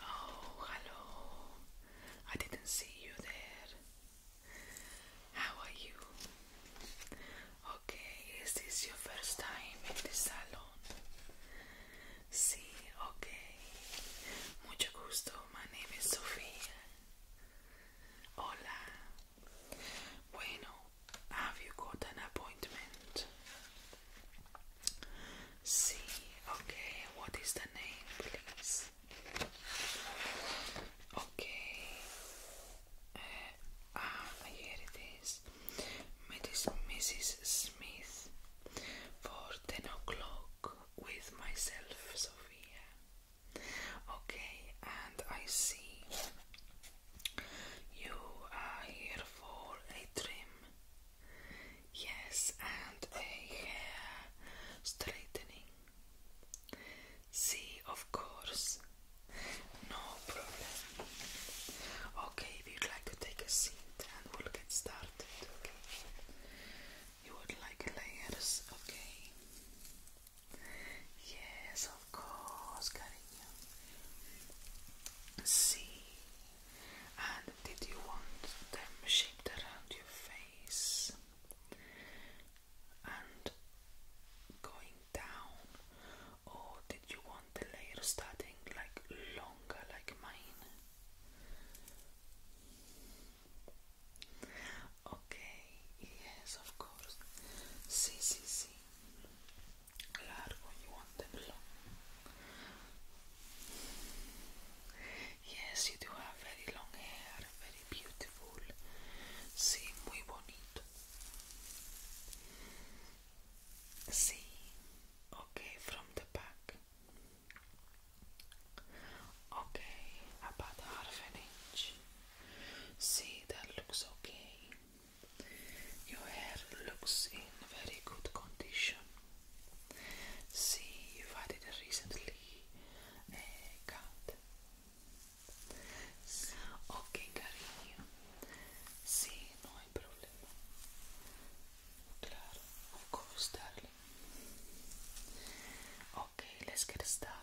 Oh, hello. I didn't see you there. How are you? Okay, is this your first time in the salon? Sí, ok. Mucha gusto. My name is Sofía. Hola. Bueno, have you got an appointment? See, Okay, what is the name, please? Okay, uh, ah, here it is. Mrs. Smith for 10 o'clock with myself, Sofia. Okay, and I see you are here for a trim, yes, and a hair straightening. See, of course, no problem. Okay, if you'd like to take a seat and we'll get started, okay? You would like layers, okay? Yes, of course, cariño. See, and did you want them shaped around your face and going down, or did you want the layer starting like longer, like mine? Okay, yes, of course. See, see, see largo, you want them long. Yes, you do have very long hair, very beautiful. Sí, muy bonito. Sí, okay, from the back. Okay, about half an inch. See, that looks okay. Your hair looks in very good condition. See, if I did it recently a uh, Okay, cariño. Sí, no hay problema. Claro, of course, Okay, let's get started.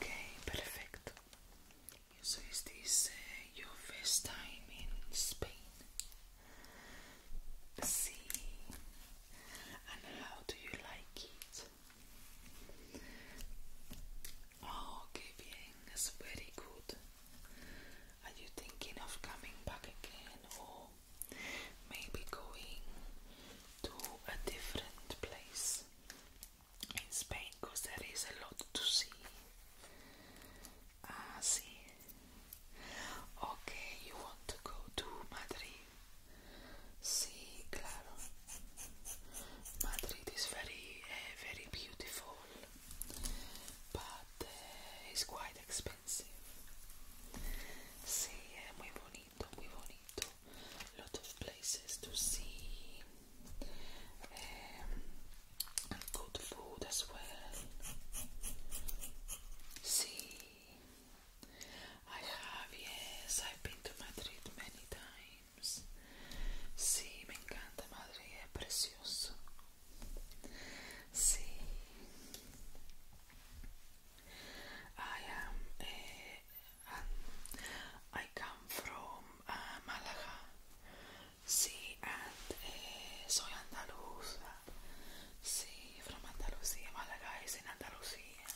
Okay, perfecto. So is this uh, your first time in Spain? See, and how do you like it? Oh, que okay, very good. Are you thinking of coming back again or maybe going to a different place in Spain because there is a lot to see. Ah, see. Okay, you want to go to Madrid? Sí, claro. Madrid is very, eh, very beautiful, but eh, it's quite expensive expensive. Sí, es eh, muy bonito, Lot of places to see. Um, good food as well. See, I have, been to Madrid many times. Sí, me encanta Madrid, es precioso. Sí. I am. eh, I come from uh, ah, Malaga. Sí, and eh soy andaluza. Sí, from Andalucía. Malaga is in Andalucía.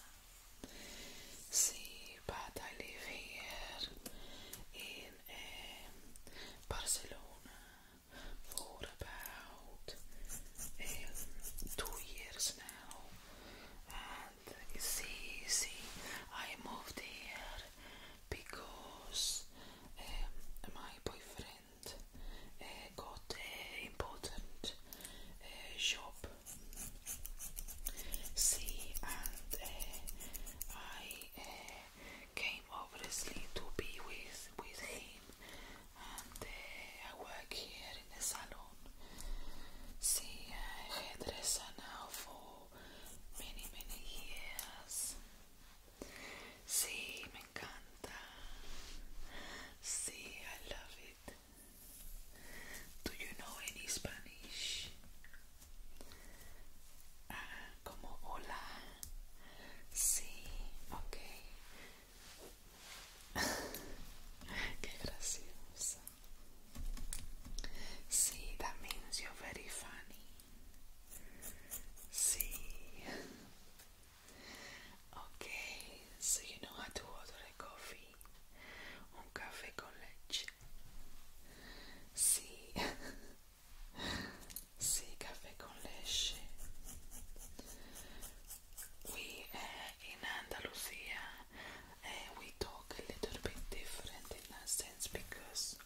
Sí, but I live here in um, Barcelona. for about um, two years now, and see, see, I moved here because um, my boyfriend uh, got an important uh, job. See, and uh, I came obviously to be with with him, and uh, I work here in the salon. See, a hairdresser now for many many years. See, I love it. Do you know any Spanish? Ah, como hola. Sí, okay. See, that means you're very funny. See. Okay, so you know how to order a coffee. con leche. See si caffè con leche. we uh, in Andalusia uh, we talk a little bit different in that sense because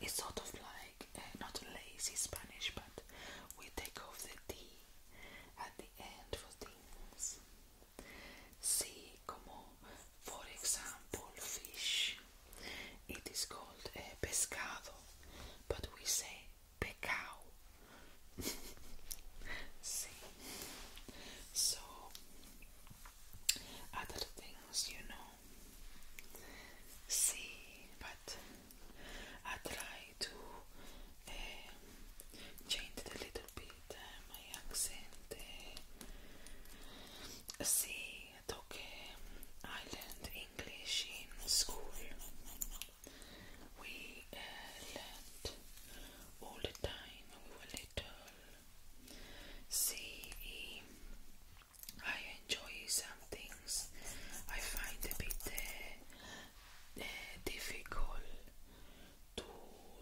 it's sort of like eh, not lazy Spanish but we take off the D at the end for things si como for example fish it is called uh, pescado, but we say pecao. See, so other things, you know. See, but I try to eh, change a little bit eh, my accent. see took um, Island English in school. We uh, learned all the time when we were little. See, enjoy some things I find a bit uh, uh, difficult to,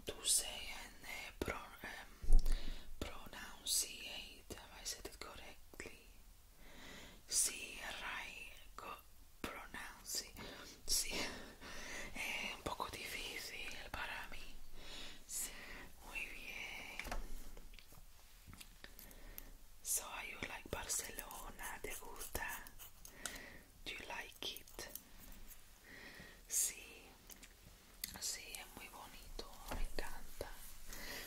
to say and uh, pro um, Have I said it correctly? sí, sí, es un poco difícil para mí, sí. muy bien, so you like Barcelona, ¿te gusta? Do you like it? Sí, sí, es muy bonito, me encanta,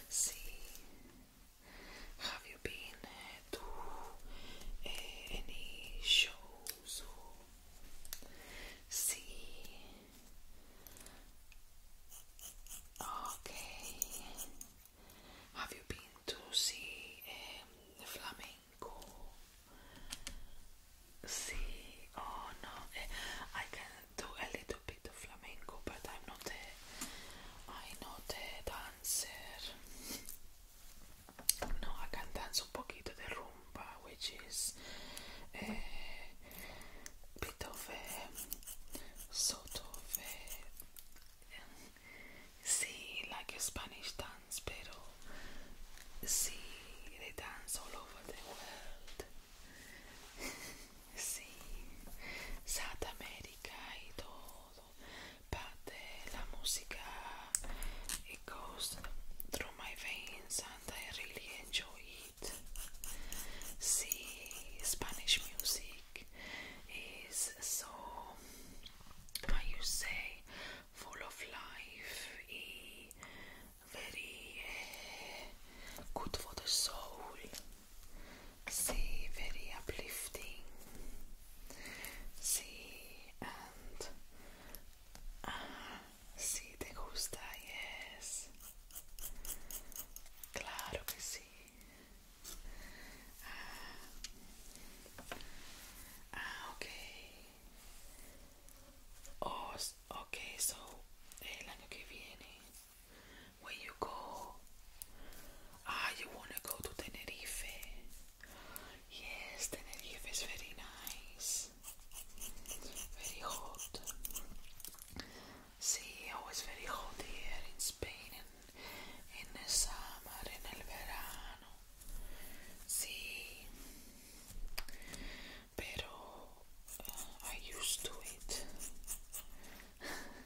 sí. Have you been eh, to eh, any shows or see? Okay. Have you been to see flamenco? See, oh no, eh, I can do a little bit of flamenco, but I'm not a, I'm not a dancer. No, I can dance a un poquito de rumba, which is a bit of a sort of a, see, like a Spanish dance, pero see, they dance all over the world. sí, Sudamérica y todo, parte de la música, it eh, goes through my veins and I really enjoy it. See, Spanish music is so, how you say, full of life, very eh, good for the soul see very uplifting, see and ah, si te gusta, yes, claro que sí. Ah, ah okay. Oh, okay, so el que viene where you go? Ah, you want to go to Tenerife? Yes, Tenerife is very nice. Very hot. See, always oh, very hot here in Spain in the summer, in the verano. See, pero uh, I used to it.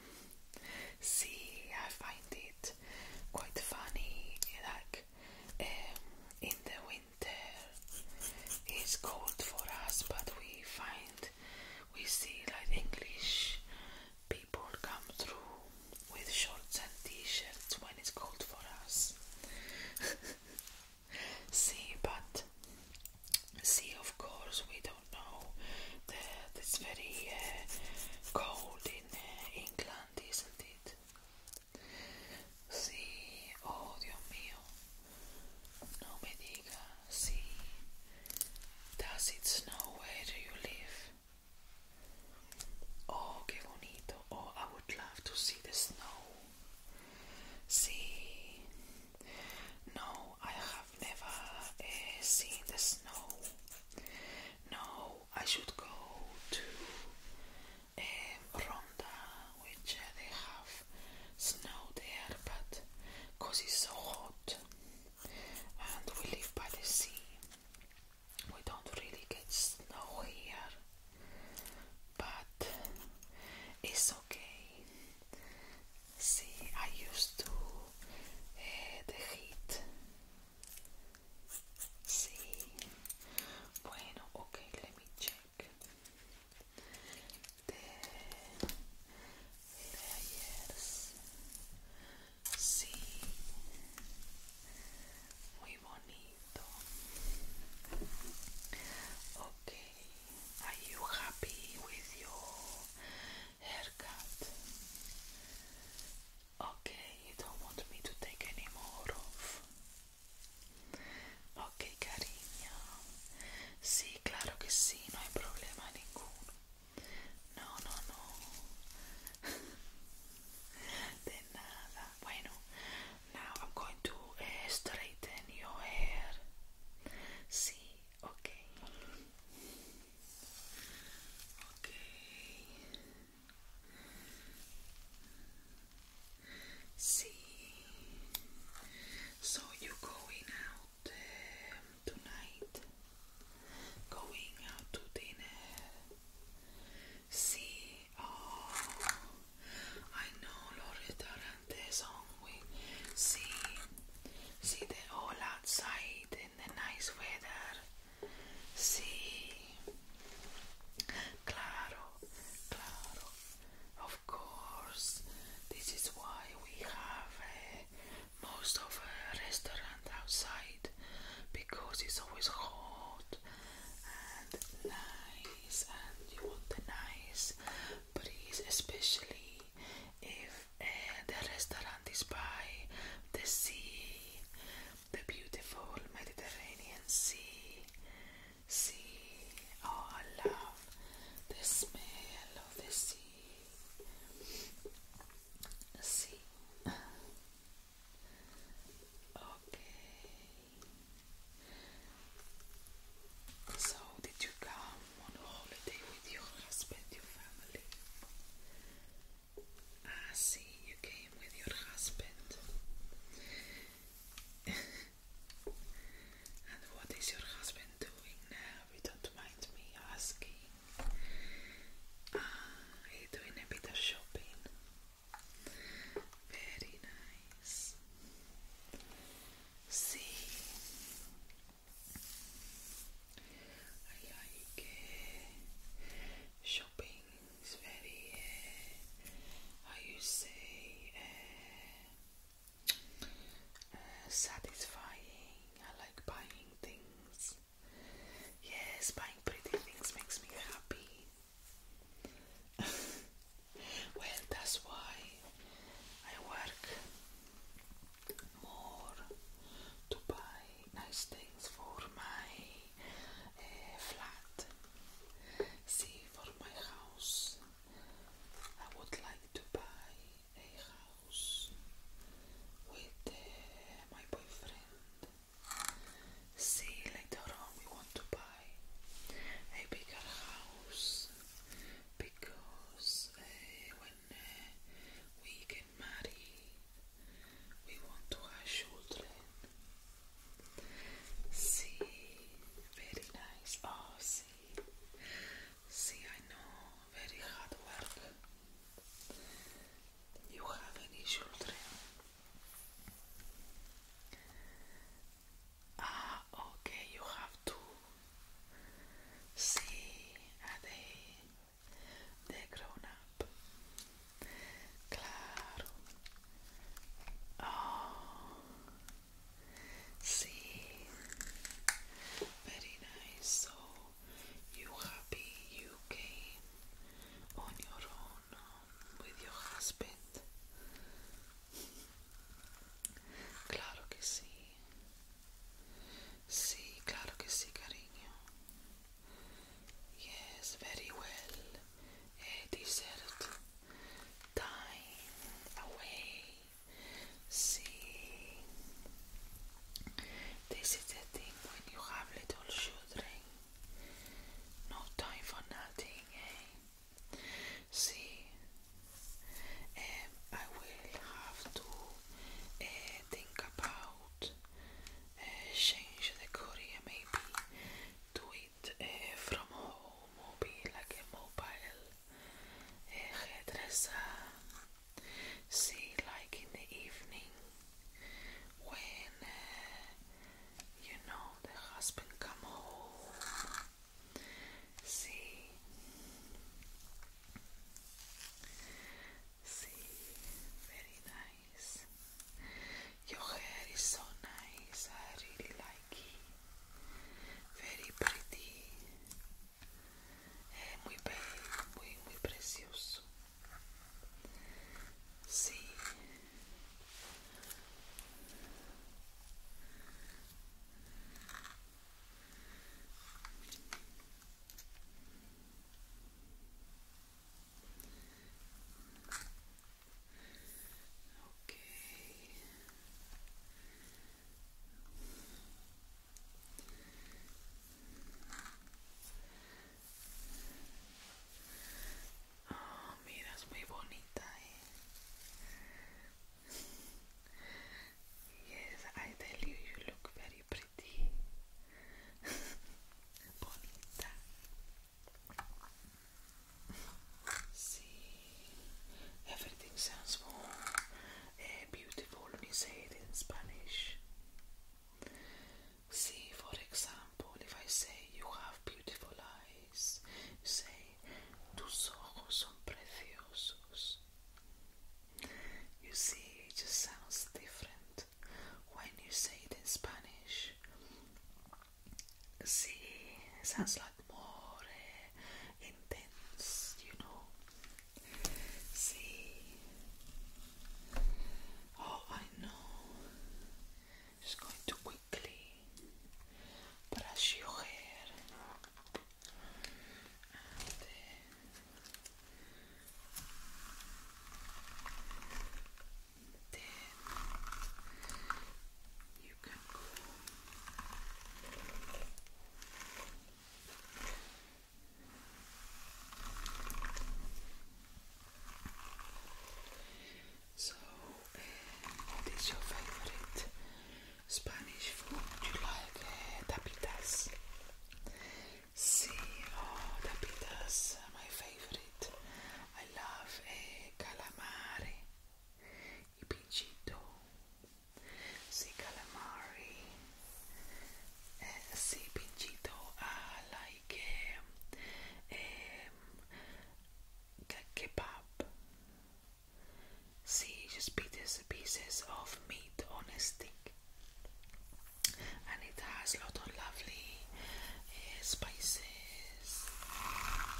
see, I find it quite funny. Like um, in the winter, it's cold for us, but we find we see like English people come through with shorts and t-shirts when it's cold for us. see, but see, of course, we don't don't it's very uh, cold in uh, England, isn't it? Sí, oh Dios mío, no me diga, sí. Does it snow where you live? Oh, qué bonito. Oh, I would love to see the snow. See, no, I never eh, seen the snow. No, I should go to um, Ronda, which uh, they have snow there, but because it's so hot and we live by the sea, we don't really get snow here, but it's okay. See, I used to uh, the heat Sí. Bueno, okay, let me check. De, de ayer. Sí. Muy bonito. Okay. Are you happy with you Okay, you don't want me to take any more Ok cariño, sí, claro que sí, no hay problema ninguno. No, no, no. De Bueno, now I'm going to eh, straighten your hair. Sí, ok. Okay. See. So you going out um, tonight? Going out to dinner? See. Oh, I know los restaurantes on See. See, they're all outside the nice weather. See, claro, claro. Of course, this is why we have eh, most of a restaurant outside because it's always hot and nice, and you want the nice breeze, especially if eh, the restaurant is by the sea, the beautiful Mediterranean Sea. See, oh, I love the smell of the sea. See, okay. So, did you come on holiday with your husband, your family? I ah, see you came with your husband. and what is your husband doing now? If you don't mind me asking. Ah, he's doing a bit of shopping. Very nice. See, I like shopping, it's very, eh, how you say, eh, satisfying. I like buying things. Yes, buying pretty things makes me happy. well, that's why I work more to buy nice things for my eh, flat. See, for my house, I would like to buy a house with eh, my boyfriend. See, later on, we want to buy a bigger house because eh, when we get can We want to have children. See, very nice. Oh, see, see, I know, very hard work. You have any children? Ah, okay, you have two. See, are they're grown up. Claro. Oh. See. Very nice. So you happy you came on your own um, with your husband. Claro que sí. Sí, cariño. Yes, very well. A eh, dessert time away. See, this is the thing when you have little children. No time for nothing, eh? See, um, I will have to uh, think about uh, change the career maybe do it eh, from home or like a mobile uh, see like in the evening when you know the husband come home see very nice. Your hair is so nice. I really like you. Very pretty. É eh, muy bem, muy, muy precioso. See. Okay. Oh, mira, es muy bonita. Eh. yes, I tell you, you look very pretty. everything sounds more beautiful when you say it in Spanish. See, for example, if I say you have beautiful eyes, you say tus ojos son preciosos. You see, it just sounds different when you say it in Spanish. See, it sounds like more eh, intense, you know. See, oh, I know. Just going to quickly brush your hair so, eh, what is your favorite Spanish food? Do you like eh, tapitas? See, oh, the pitas, my favorite. I love eh, calamari, y pinchito. See, calamari. Eh, see, I ah, like eh, mm, kebab serious pieces, pieces of meat on a stick, and it has a lot of lovely eh, spices.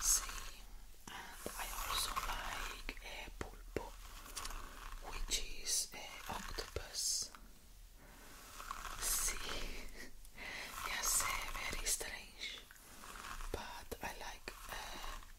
See, and I also like a eh, pulpo, which is uh, octopus. See, yes, uh, very strange, but I like.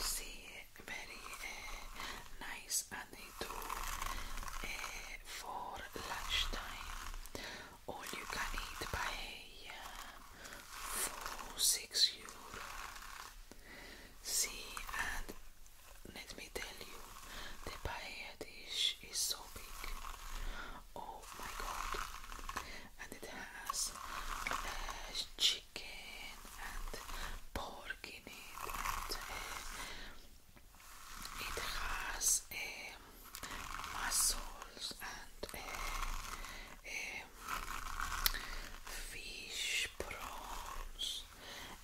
see very eh, nice and they eh, for lunchtime all you can eat by eh, for 6 euro see and let me tell you the paella dish is so big oh my god and it has uh, and pork in it, and eh, it has eh, muscles and eh, fish, prawns,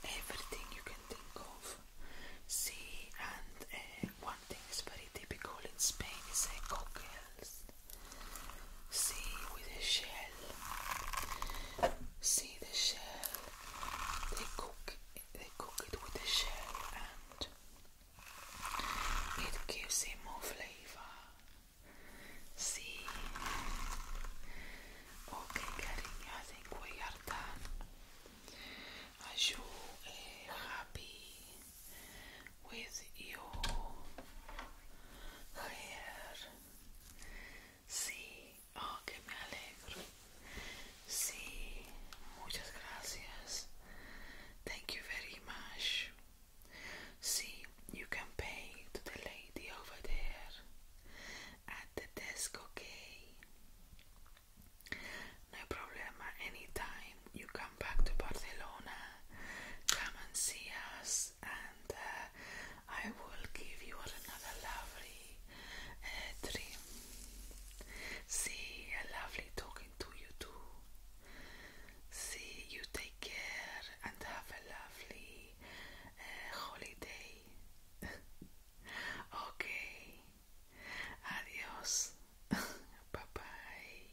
everything you can think of. See, and one thing is very typical in Spain is uh, cockles. See with the shell. See the shell. They cook they cook it with the shell and it gives it more flavor. See Okay cariño, I think we are done. Are you eh, happy? with your hair. Sí, oh, que me alegro. Sí, muchas gracias. Thank you very much. See, you can pay to the lady over there at the desk, okay? No problema, anytime you can come back to Barcelona, come and see us, and uh, I will give you another lovely uh, dream. See, a lovely talking to you too. See, you take care and have a lovely uh, holiday. okay. Adios. bye bye.